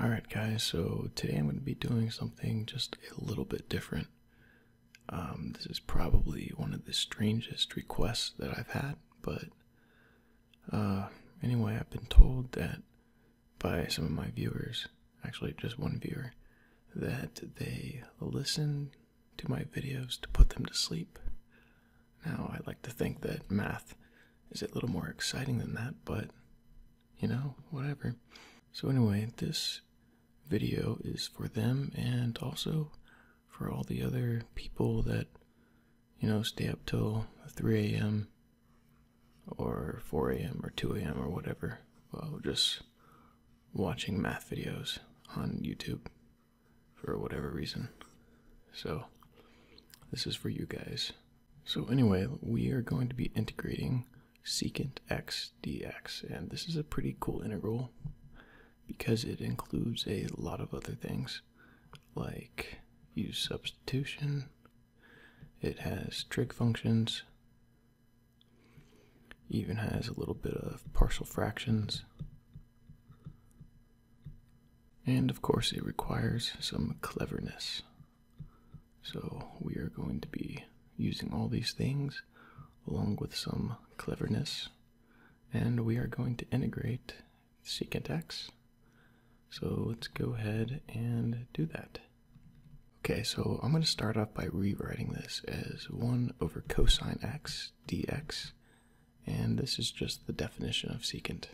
Alright, guys, so today I'm going to be doing something just a little bit different. Um, this is probably one of the strangest requests that I've had, but uh, anyway, I've been told that by some of my viewers, actually, just one viewer, that they listen to my videos to put them to sleep. Now, I like to think that math is a little more exciting than that, but you know, whatever. So, anyway, this video is for them and also for all the other people that, you know, stay up till 3 a.m. or 4 a.m. or 2 a.m. or whatever while just watching math videos on YouTube for whatever reason. So, this is for you guys. So anyway, we are going to be integrating secant x dx, and this is a pretty cool integral because it includes a lot of other things like use substitution, it has trig functions, even has a little bit of partial fractions, and of course it requires some cleverness. So, we are going to be using all these things along with some cleverness, and we are going to integrate secant x. So, let's go ahead and do that. Okay, so I'm going to start off by rewriting this as 1 over cosine x dx, and this is just the definition of secant.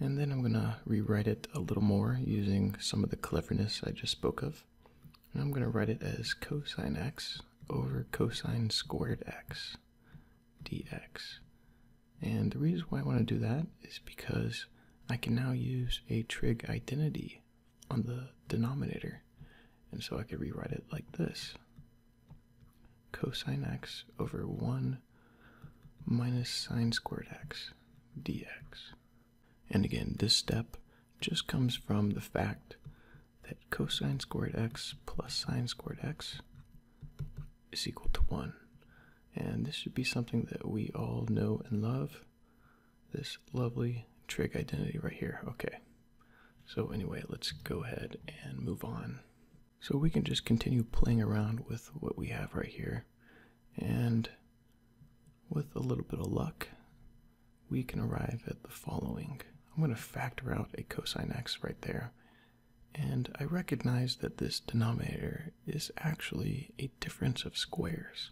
And then I'm going to rewrite it a little more using some of the cleverness I just spoke of. And I'm going to write it as cosine x over cosine squared x dx. And the reason why I want to do that is because I can now use a trig identity on the denominator. And so I could rewrite it like this. Cosine x over 1 minus sine squared x dx. And again, this step just comes from the fact that cosine squared x plus sine squared x is equal to 1. And this should be something that we all know and love. This lovely trig identity right here. Okay. So anyway, let's go ahead and move on. So we can just continue playing around with what we have right here and with a little bit of luck, we can arrive at the following. I'm going to factor out a cosine x right there, and I recognize that this denominator is actually a difference of squares.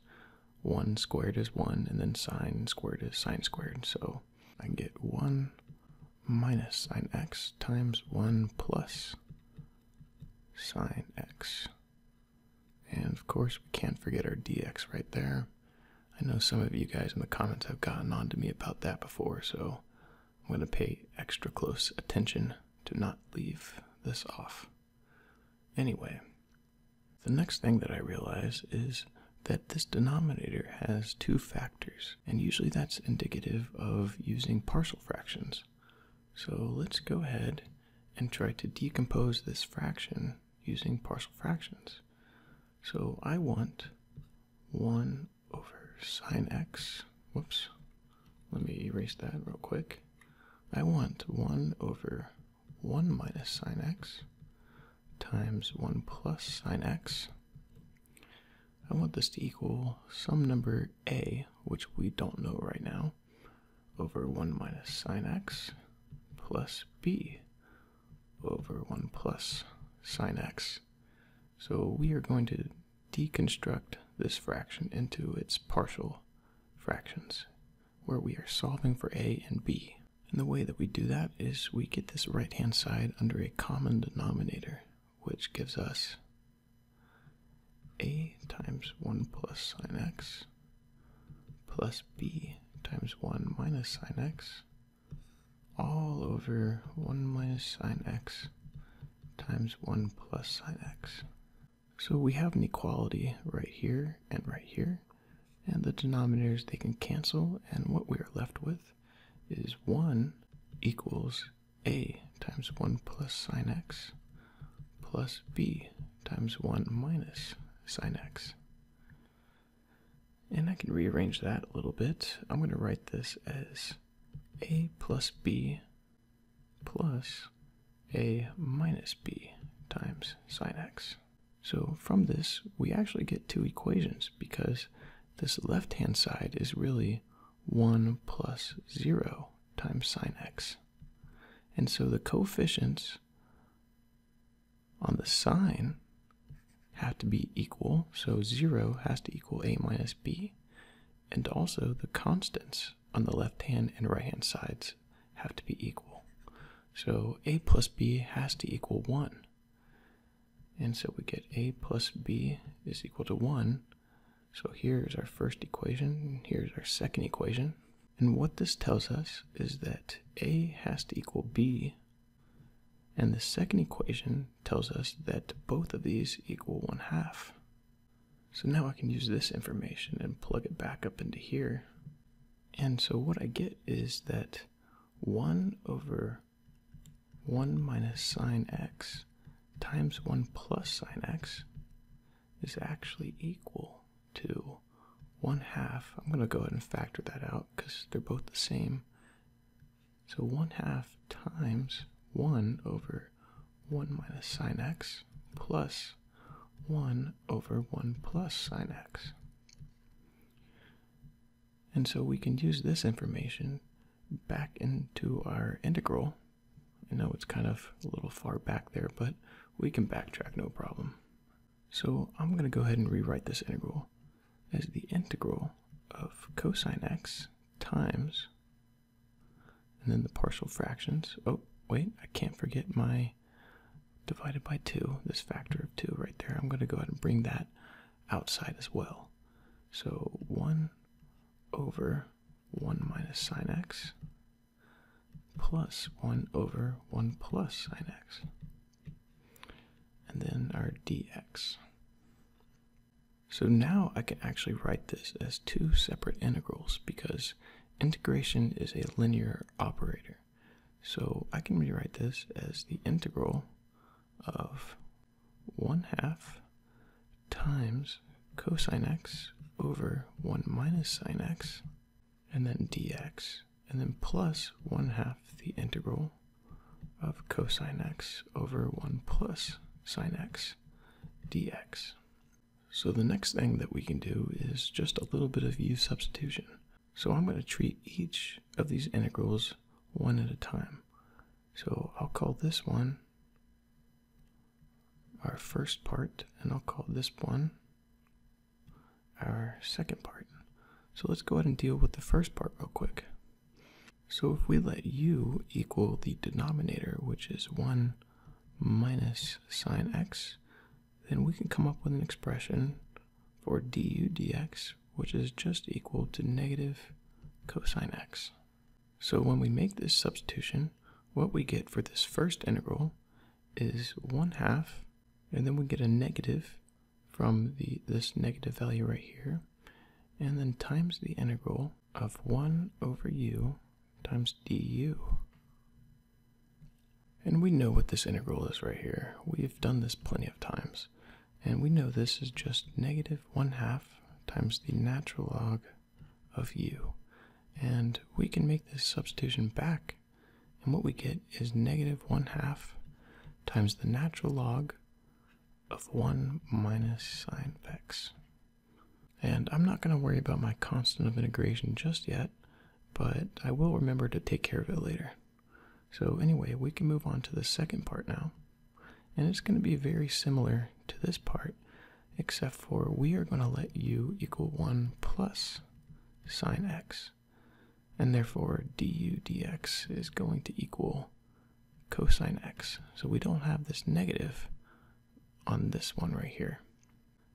1 squared is 1, and then sine squared is sine squared, so I get 1 minus sine x times 1 plus sine x. And of course, we can't forget our dx right there. I know some of you guys in the comments have gotten on to me about that before, so I'm going to pay extra close attention to not leave this off. Anyway, the next thing that I realize is that this denominator has two factors, and usually that's indicative of using partial fractions. So let's go ahead and try to decompose this fraction using partial fractions. So I want 1 over sine x, whoops, let me erase that real quick. I want 1 over 1 minus sine x times 1 plus sine x. I want this to equal some number a, which we don't know right now, over 1 minus sine x plus b over 1 plus sine x. So we are going to deconstruct this fraction into its partial fractions, where we are solving for a and b. And the way that we do that is we get this right hand side under a common denominator, which gives us a times 1 plus sine x plus b times 1 minus sine x all over 1 minus sine x times 1 plus sine x. So we have an equality right here and right here, and the denominators they can cancel, and what we are left with is 1 equals a times 1 plus sine x plus b times 1 minus sine x. And I can rearrange that a little bit. I'm going to write this as a plus b plus a minus b times sine x. So from this, we actually get two equations because this left-hand side is really 1 plus 0 times sine x. And so the coefficients on the sine have to be equal, so 0 has to equal a minus b, and also the constants on the left hand and right hand sides have to be equal. So a plus b has to equal 1. And so we get a plus b is equal to 1, so here's our first equation, here's our second equation. And what this tells us is that A has to equal B, and the second equation tells us that both of these equal 1 half. So now I can use this information and plug it back up into here. And so what I get is that 1 over 1 minus sine x times 1 plus sine x is actually equal to one half. I'm going to go ahead and factor that out because they're both the same. So one half times one over one minus sine x plus one over one plus sine x. And so we can use this information back into our integral I know it's kind of a little far back there, but we can backtrack no problem. So I'm going to go ahead and rewrite this integral as the integral of cosine x times, and then the partial fractions. Oh, wait, I can't forget my divided by 2, this factor of 2 right there. I'm going to go ahead and bring that outside as well. So 1 over 1 minus sine x plus 1 over 1 plus sine x. And then our dx. So now I can actually write this as two separate integrals because integration is a linear operator. So I can rewrite this as the integral of 1 half times cosine x over 1 minus sine x, and then dx, and then plus 1 half the integral of cosine x over 1 plus sine x dx. So the next thing that we can do is just a little bit of u substitution. So I'm going to treat each of these integrals one at a time. So I'll call this one our first part, and I'll call this one our second part. So let's go ahead and deal with the first part real quick. So if we let u equal the denominator, which is 1 minus sine x, then we can come up with an expression for du dx, which is just equal to negative cosine x. So when we make this substitution, what we get for this first integral is 1 half, and then we get a negative from the, this negative value right here, and then times the integral of 1 over u times du. And we know what this integral is right here. We've done this plenty of times. And we know this is just negative 1 half times the natural log of u. And we can make this substitution back, and what we get is negative 1 half times the natural log of 1 minus sine of x. And I'm not going to worry about my constant of integration just yet, but I will remember to take care of it later. So anyway, we can move on to the second part now. And it's going to be very similar to this part, except for we are going to let u equal 1 plus sine x. And therefore, du dx is going to equal cosine x. So we don't have this negative on this one right here.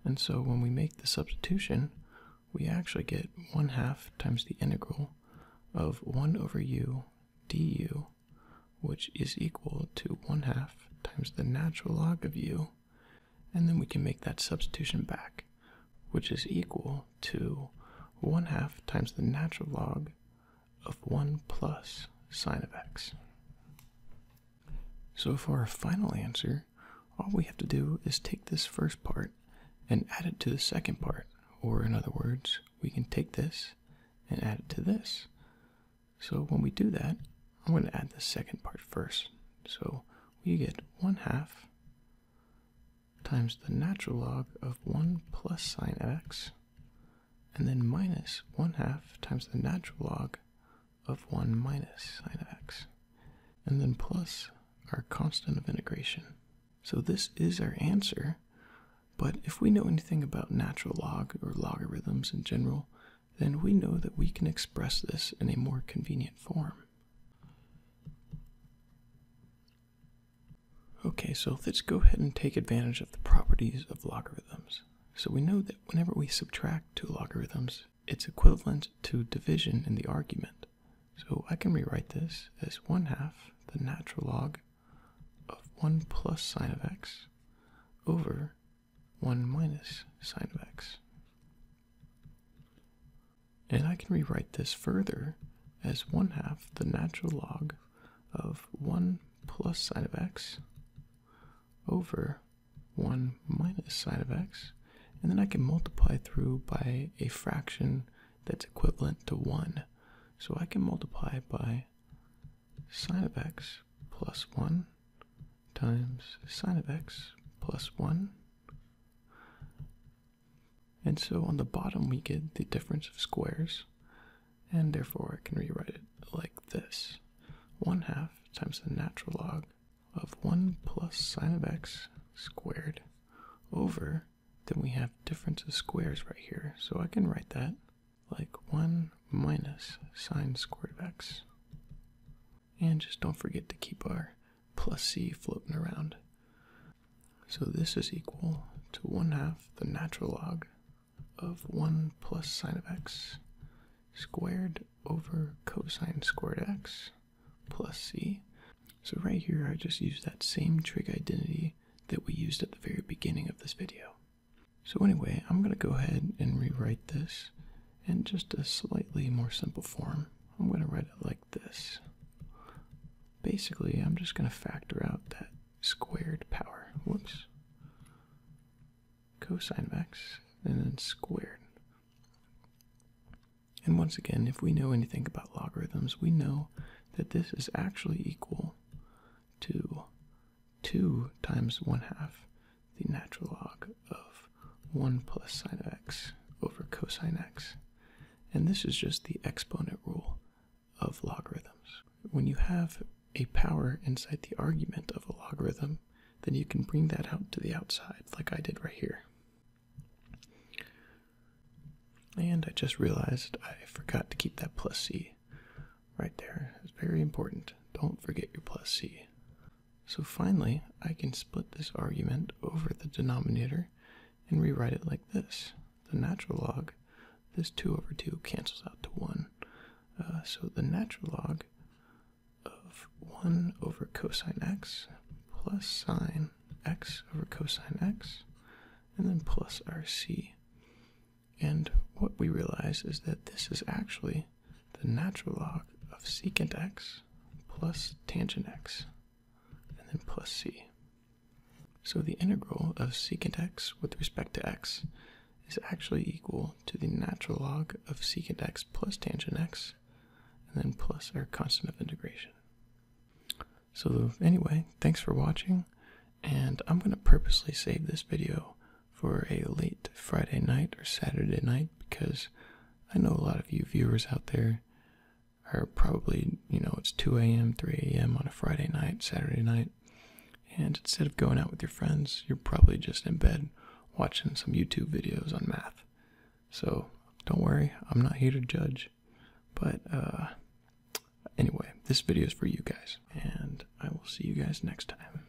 And so when we make the substitution, we actually get 1 half times the integral of 1 over u du, which is equal to 1 half times the natural log of u and then we can make that substitution back, which is equal to 1 half times the natural log of 1 plus sine of x. So for our final answer, all we have to do is take this first part and add it to the second part, or in other words, we can take this and add it to this. So when we do that, I'm going to add the second part first. So we get 1 half times the natural log of 1 plus sine of x, and then minus 1 half times the natural log of 1 minus sine of x, and then plus our constant of integration. So this is our answer, but if we know anything about natural log or logarithms in general, then we know that we can express this in a more convenient form. Okay, so let's go ahead and take advantage of the properties of logarithms. So we know that whenever we subtract two logarithms, it's equivalent to division in the argument. So I can rewrite this as 1 half the natural log of 1 plus sine of x over 1 minus sine of x. And I can rewrite this further as 1 half the natural log of 1 plus sine of x over 1 minus sine of x, and then I can multiply through by a fraction that's equivalent to 1. So I can multiply by sine of x plus 1 times sine of x plus 1. And so on the bottom, we get the difference of squares, and therefore I can rewrite it like this 1 half times the natural log of 1 plus sine of x squared over, then we have difference of squares right here. So I can write that like 1 minus sine squared of x. And just don't forget to keep our plus c floating around. So this is equal to 1 half the natural log of 1 plus sine of x squared over cosine squared x plus c. So right here I just used that same trig identity that we used at the very beginning of this video. So, anyway, I'm going to go ahead and rewrite this in just a slightly more simple form. I'm going to write it like this. Basically, I'm just going to factor out that squared power. Whoops. Cosine of x and then squared. And once again, if we know anything about logarithms, we know that this is actually equal to 2 times 1 half the natural log of 1 plus sine of x over cosine x. And this is just the exponent rule of logarithms. When you have a power inside the argument of a logarithm, then you can bring that out to the outside, like I did right here. And I just realized I forgot to keep that plus c right there. It's very important. Don't forget your plus c. So finally, I can split this argument over the denominator and rewrite it like this. The natural log, this 2 over 2 cancels out to 1. Uh, so the natural log of 1 over cosine x plus sine x over cosine x, and then plus our c. And what we realize is that this is actually the natural log of secant x plus tangent x and then plus c. So the integral of secant x with respect to x is actually equal to the natural log of secant x plus tangent x and then plus our constant of integration. So anyway, thanks for watching and I'm going to purposely save this video for a late Friday night or Saturday night because I know a lot of you viewers out there are probably, you know, it's 2 a.m., 3 a.m. on a Friday night, Saturday night, and instead of going out with your friends, you're probably just in bed watching some YouTube videos on math. So don't worry, I'm not here to judge, but uh, anyway, this video is for you guys, and I will see you guys next time.